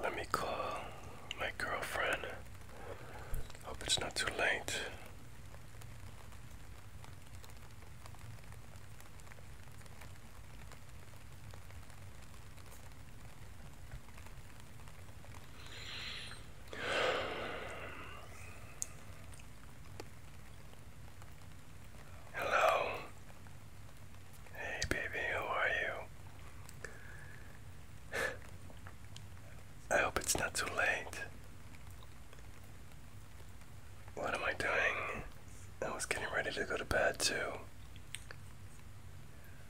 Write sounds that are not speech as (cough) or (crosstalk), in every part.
Let me call my girlfriend. Hope it's not too late. Hello. Hey, baby, who are you? I hope it's not too late. What am I doing? I was getting ready to go to bed, too.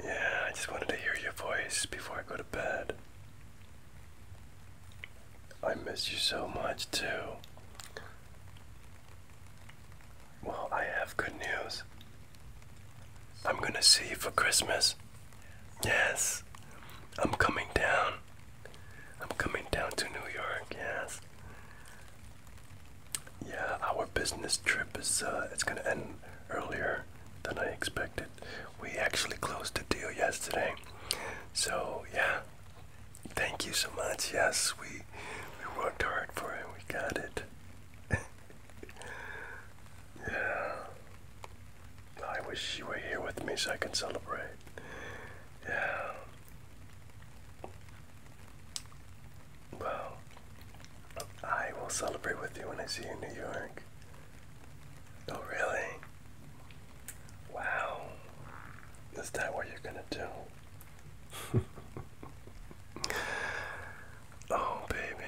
Yeah, I just wanted to hear your voice before I go to bed. I miss you so much too. Well, I have good news. I'm gonna see you for Christmas. Yes, I'm coming down. I'm coming down to New York. Yes. Yeah, our business trip is uh, it's gonna end earlier than I expected. We actually closed the deal yesterday. So yeah, thank you so much. Yes, we we worked hard for it. We got it. (laughs) yeah. I wish you were here with me so I could celebrate. Yeah. Well, I will celebrate with you when I see you in New York. Oh, really? Wow. Is that what you're gonna do? (laughs) oh, baby,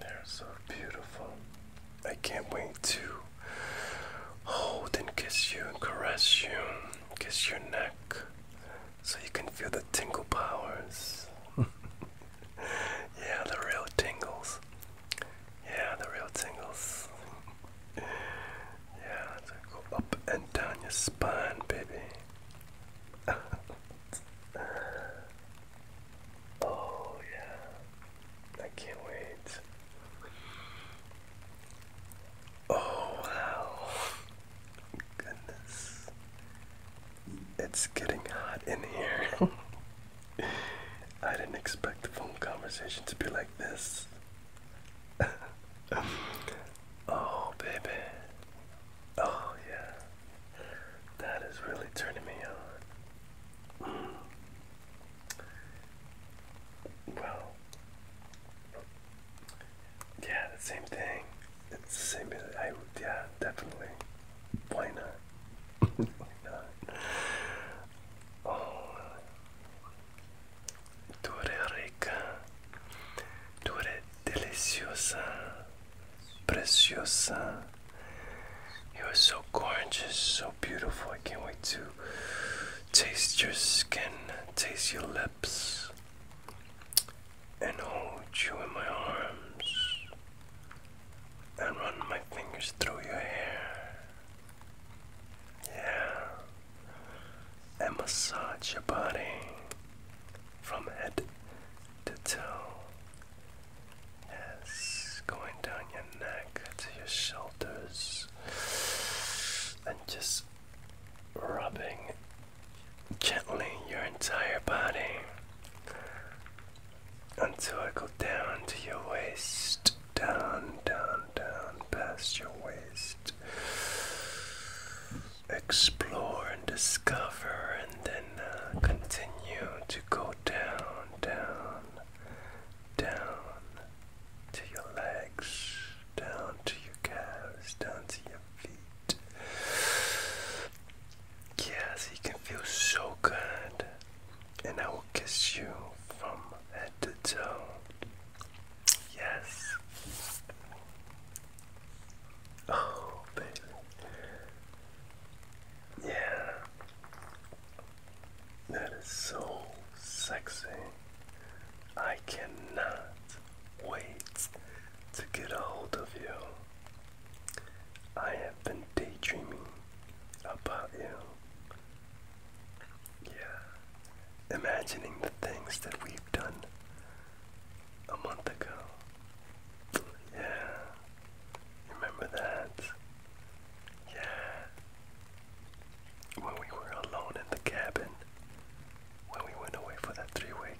they're so beautiful. I can't wait to hold and kiss you and caress you, kiss your neck, so you can feel the tingle powers. (laughs) yeah, the real tingles. Yeah, the real tingles. yeah, so go up and down your spine, baby. (laughs) oh, yeah. I can't wait. Oh, wow. Goodness. It's getting hot in here. (laughs) (laughs) I didn't expect the phone conversation to be like this. (laughs) oh, baby. Oh, yeah. That is really turning me on. Mm. Well, yeah, the same thing. It's the same. yeah, definitely. Why not? (laughs) Why not? oh, tú eres rica, tú eres deliciosa, preciosa. You are so gorgeous, so beautiful. I can't wait to taste your skin, taste your lips, and hold you in my arms, and run my fingers through your hair. Yeah. And massage your body from head to toe. Yes, going down your neck to your shoulders and just rubbing gently your entire body until I go down to your waist, down, down, down, past your waist. Explore and discover, and then uh, continue to go down, down, down to your legs, down to your calves, down to your feet. Yes, you can feel so good and I will kiss you from head to toe. Yes. Oh, baby. Yeah. That is so sexy. I cannot wait to get a hold of you. I have been daydreaming about you. Yeah. Imagining the things that we've done a month ago. Yeah. Remember that? Yeah. When we were alone in the cabin, when we went away for that three week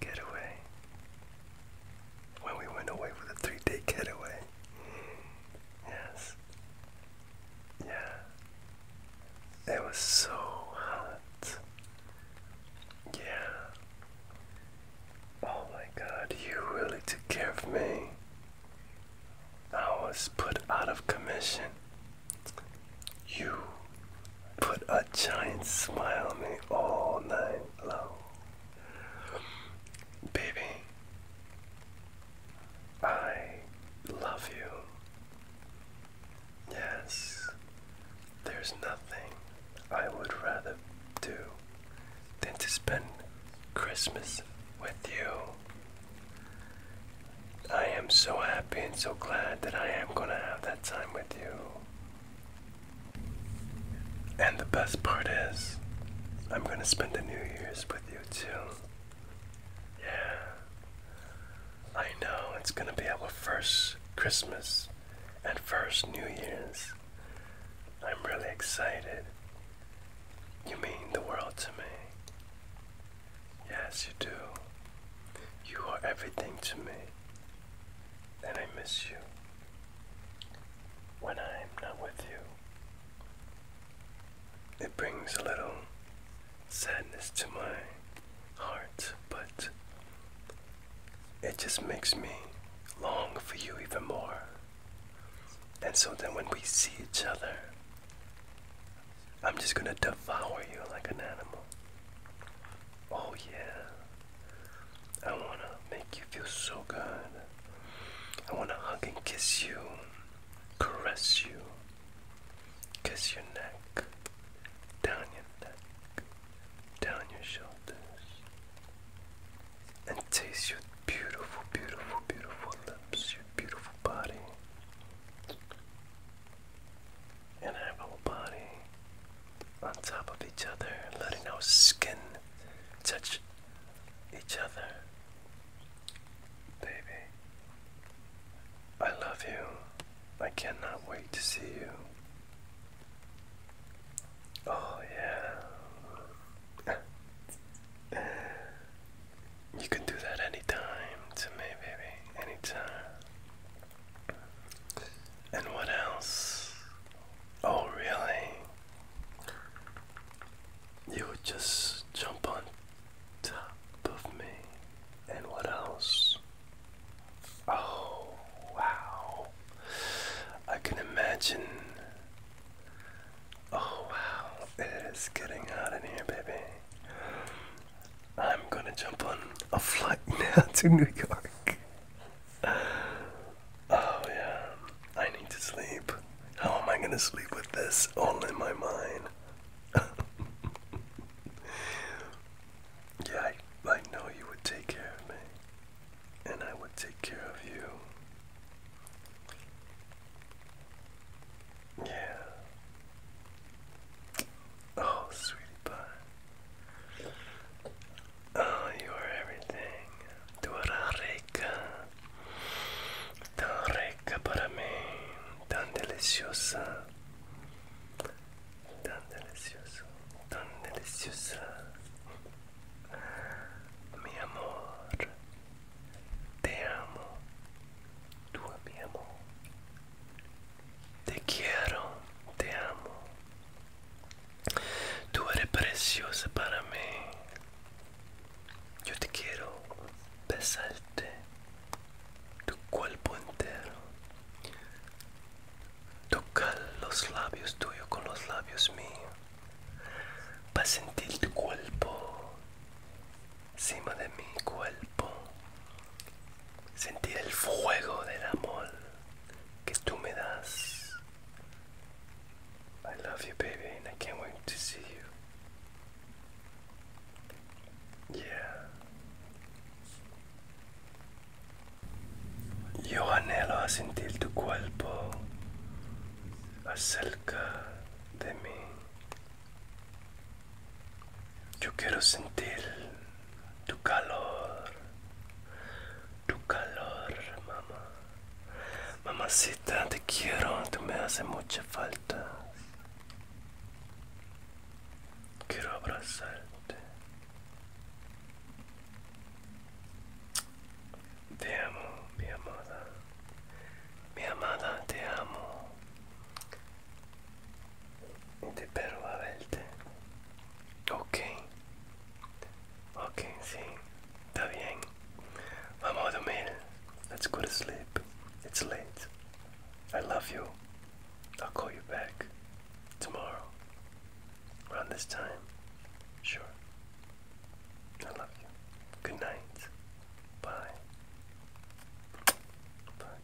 getaway when we went away for the three day getaway. Yes. Yeah. It was so hot. Yeah. Oh my god, you really took care of me. I was put out of commission. You put a giant smile on me all night long. Baby, I love you. Yes, there's nothing I would rather do than to spend Christmas with you. I am so happy and so glad that I am gonna have that time with you. And the best part is, I'm gonna spend the New Year's with you too. Yeah. I know, it's gonna be our first Christmas and first New Year's. I'm really excited. You mean the world to me. Yes, you do. You are everything to me. And I miss you when I'm not with you. It brings a little sadness to my heart, but it just makes me long for you even more. And so then when we see each other, I'm just gonna devour you like an animal. Oh, yeah. I wanna make you feel so good. I want to hug and kiss you, caress you, kiss your neck, down your neck, down your shoulders, and taste your beautiful, beautiful, beautiful lips, your beautiful body. And our body on top of each other, letting our skin touch each other. Baby, I love you. I cannot wait to see you. Oh, yeah. (laughs) you can do that anytime to me, baby. Anytime. And what else? Oh, really? You would just jump on top of me. And what else? Oh, wow. I can imagine. Oh, wow. It is getting hot in here, baby. I'm gonna jump on a flight (laughs) now to New York. (sighs) oh yeah. I need to sleep. How am I gonna sleep with this all in my mind? (laughs) yeah, I, I know you would take care of me. And I would take care of you. Yeah. Oh, sweetie pie. Oh, you are everything. Tú eres rica. Tan rica para mí. Tan deliciosa. Tan delicioso. Tan deliciosa. Mi amor. Te amo. Tú, amor. Te quiero. Te amo. Tú eres preciosa para mí. Yo te quiero besarte tu cuerpo entero. Tocar los labios tuyos con los labios míos. Para sentir tu cuerpo encima de mi cuerpo. Sentir el fuego del amor que tú me das. I love you, baby, and I can't wait to see you. Yeah. Yo anhelo sentir tu cuerpo acerca de mí. Yo quiero sentir tu calor tu calor, mamá. Mamacita, te quiero, tú me hace mucha falta. Quiero abrazarte. Te amo, mi amada. Mi amada, te amo. Te espero a verte. Ok. Ok, sí, está bien. Vamos a dormir. Let's go to sleep. It's late. I love you. I'll call you back tomorrow. Around this time. Sure. I love you. Good night. Bye. Bye.